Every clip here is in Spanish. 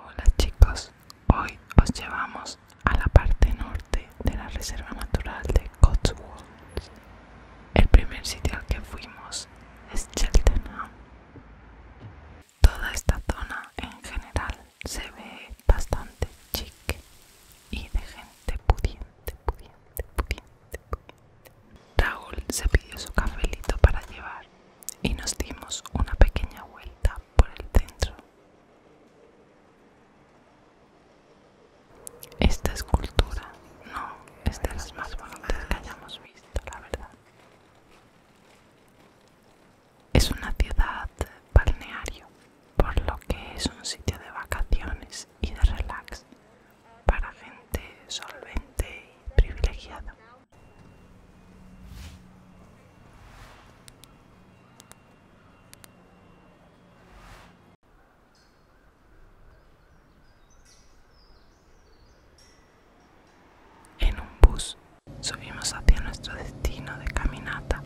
Hola chicos, hoy os llevamos a la parte norte de la Reserva Natural de Cotswolds. El primer sitio al que fuimos es Cheltenham. Toda esta zona en general se ve bastante chique y de gente pudiente, pudiente, pudiente, pudiente. Raúl se pidió su cafelito para llevar y nos dimos una pequeña vuelta por el centro. Esta escultura no es de las más bonitas que hayamos visto, la verdad. Es una ciudad balneario, por lo que es un sitio de vacaciones y de relax para gente solvente y privilegiada. En un bus subimos hacia nuestro destino de caminata,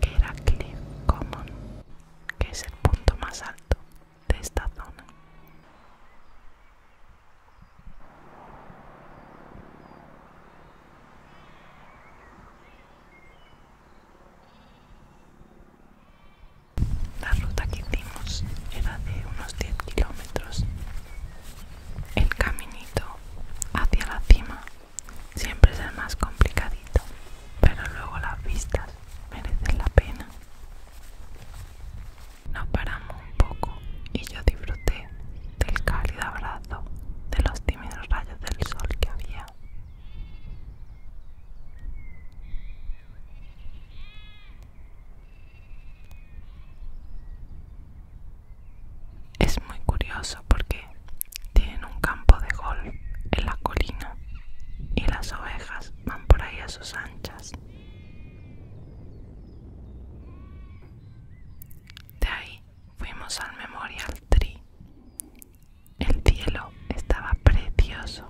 que era Cliff Common, que es el punto más alto de esta zona. La ruta que hicimos era de unos 10 kilómetros. El caminito hacia la cima siempre es el más complicadito, pero luego las vistas merecen la pena. Nos paramos un poco y yo disfruté del cálido abrazo de los tímidos rayos del sol que había. Es muy curioso porque tienen un campo de golf en la colina y las ovejas van por ahí a sus anchas. De ahí fuimos al Memorial Tree. El cielo estaba precioso.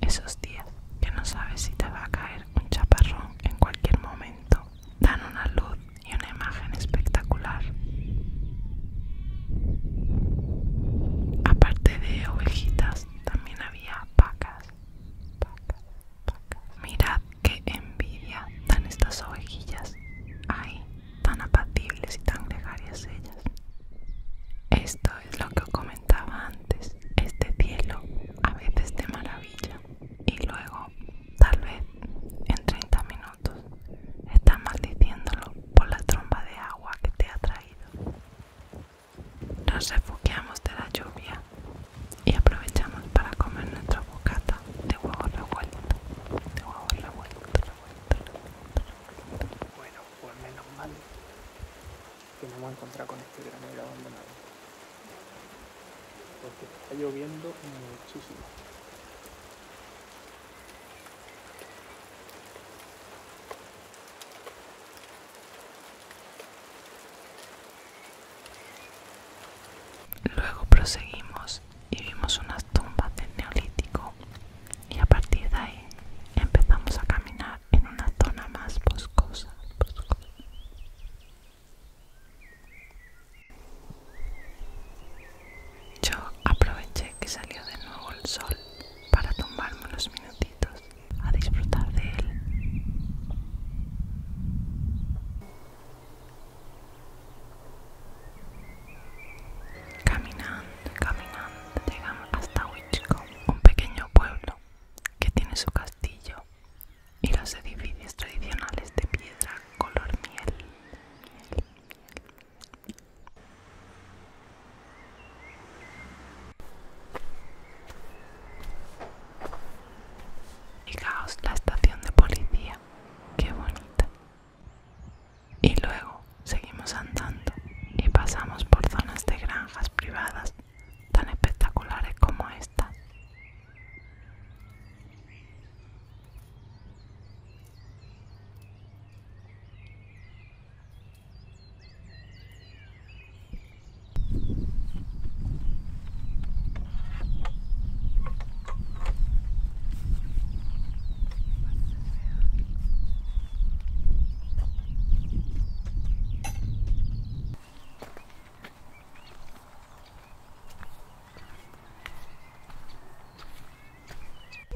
Esos días que no sabes si te va a caer un chaparrón en cualquier momento dan una luz y una imagen espectacular. Aparte de ovejitas, también vacas, Mirad qué envidia dan estas ovejillas. Ay, tan apacibles y tan gregarias ellas. Esto es lo que os comentaba antes. Este cielo, a veces de maravilla, y luego, tal vez, en 30 minutos, estás maldiciéndolo por la tromba de agua que te ha traído. Nos refugiamos de la lluvia y aprovechamos para comer nuestra bocata de huevo revuelto. De huevo Bueno, pues menos mal que no hemos encontrado con este granero abandonado. Porque está lloviendo muchísimo. Luego proseguimos y vimos unas tumbas del neolítico y a partir de ahí empezamos a caminar en una zona más boscosa. Yo aproveché que salió de nuevo el sol para tumbarme unos minutitos a disfrutar de él. Caminando, caminando, llegamos hasta Wichcombe, un pequeño pueblo que tiene su castillo y los edificios tradicionales de piedra color miel. Fijaos la estación de policía, qué bonita. Y luego seguimos andando y pasamos por zonas de granjas privadas tan espectaculares como esta.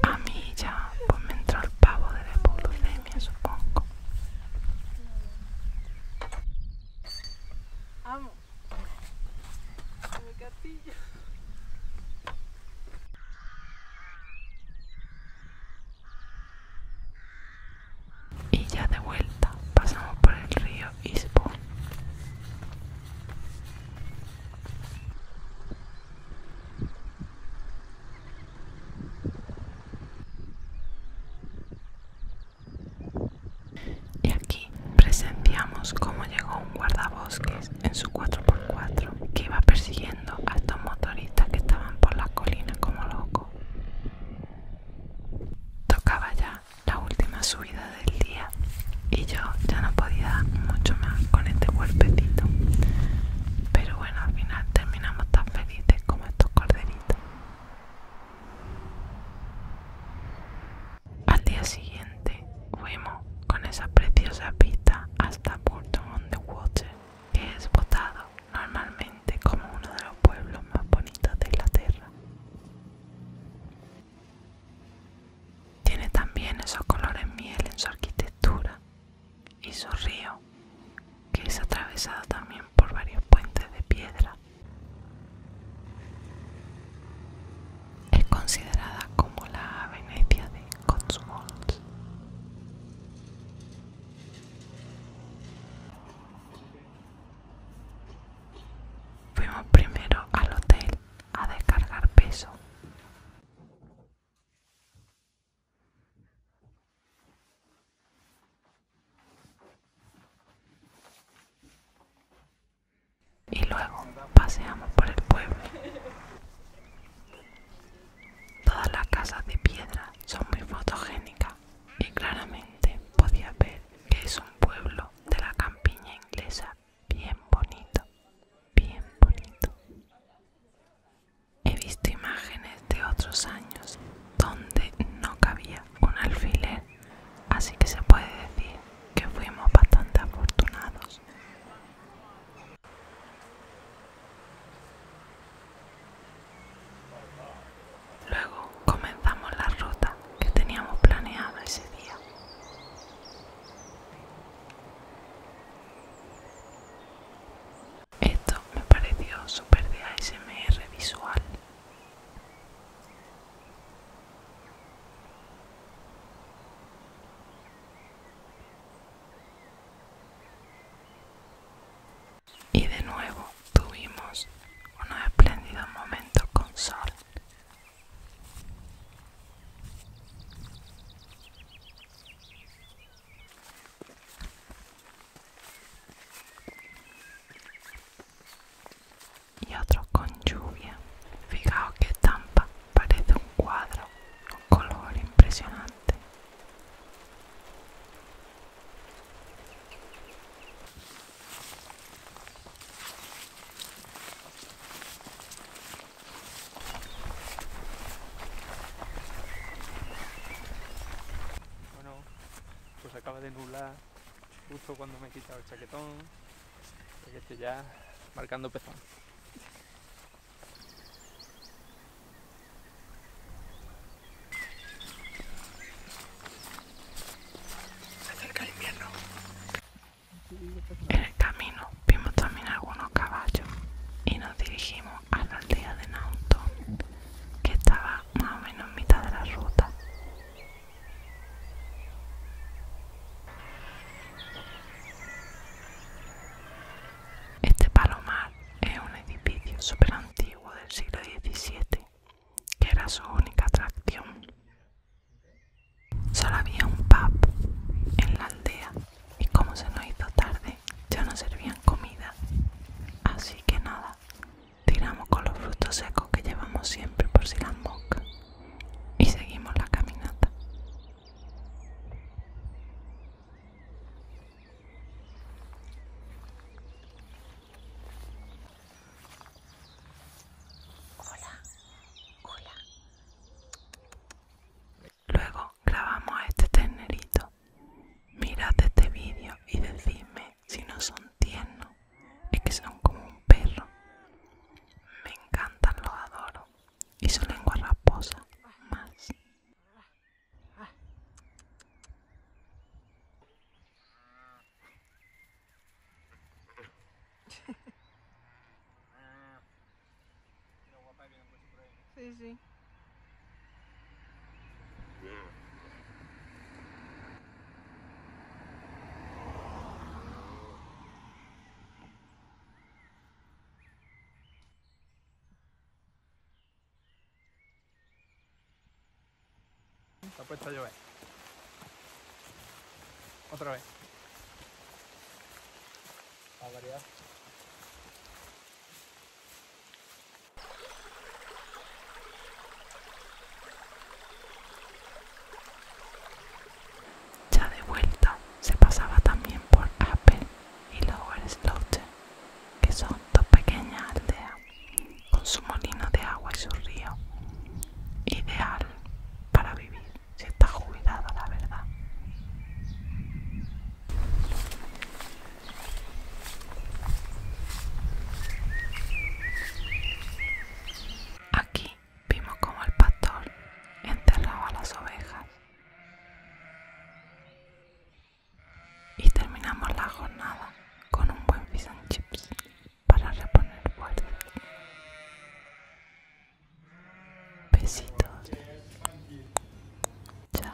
A mí ya pues me entró el pavo de la hipoglucemia, supongo. Mi Y ya de vuelta pasamos por el río Isbo. Y aquí presenciamos cómo llegó un guardabosques en su 4x4 que iba persiguiendo a estos motoristas que estaban por la colina como locos. Tocaba ya la última subida del día y yo ya no podía dar mucho más con este cuerpecito, pero bueno, al final terminamos tan felices como estos corderitos. Al día siguiente fuimos con esa preciosa pista hasta Burton on the Water, que es votado normalmente como uno de los pueblos más bonitos de Inglaterra. Tiene también esos colores miel en su arquitectura y su río que es atravesado también por varios puentes de piedra. Es considerada como la Venecia de Cotswolds. Fuimos primero al hotel a descargar peso. Y luego paseamos por el pueblo. Todas las casas de piedra son muy fotogénicas y claramente podías ver que es un pueblo de la campiña inglesa bien bonito, bien bonito. He visto imágenes de otros años donde no cabía un alfiler, así que se puede decir que fuimos bastante afortunados. Luego comenzamos la ruta que teníamos planeado ese día. Esto me pareció súper de ASMR visual. Y de nuevo tuvimos unos espléndidos momentos con sol y otro con lluvia. Fijaos que estampa, parece un cuadro con color impresionante pues acaba de nublar justo cuando me he quitado el chaquetón, estoy ya marcando pezón. Se acerca el invierno. En el camino vimos también algunos caballos y nos dirigimos a la aldea de Nauton que estaba más o menos en mitad de la ruta. Este palomar es un edificio super antiguo del siglo XVII, que era su única atracción. Solo había un pub en la aldea y como se nos hizo tarde, ya no servían comida, así que nada, Tiramos con los frutos secos que llevamos siempre por si las moscas y seguimos la caminata. Hola, hola. Luego grabamos a este ternerito Mirad este vídeo y decidme si no son tiernos, y que son como un perro. Me encantan, los adoro. Y su lengua raposa más. Está puesto a llover. Otra vez. A variar. Ya de vuelta se pasaba también por Apple y Lower Sloche, que son dos pequeñas aldeas con su molino de agua y su río. Ideal para vivir si está jubilado, la verdad. Aquí vimos como el pastor enterraba las ovejas. Y terminamos la jornada con un buen vision chips para reponer fuerzas. Besitos. chao.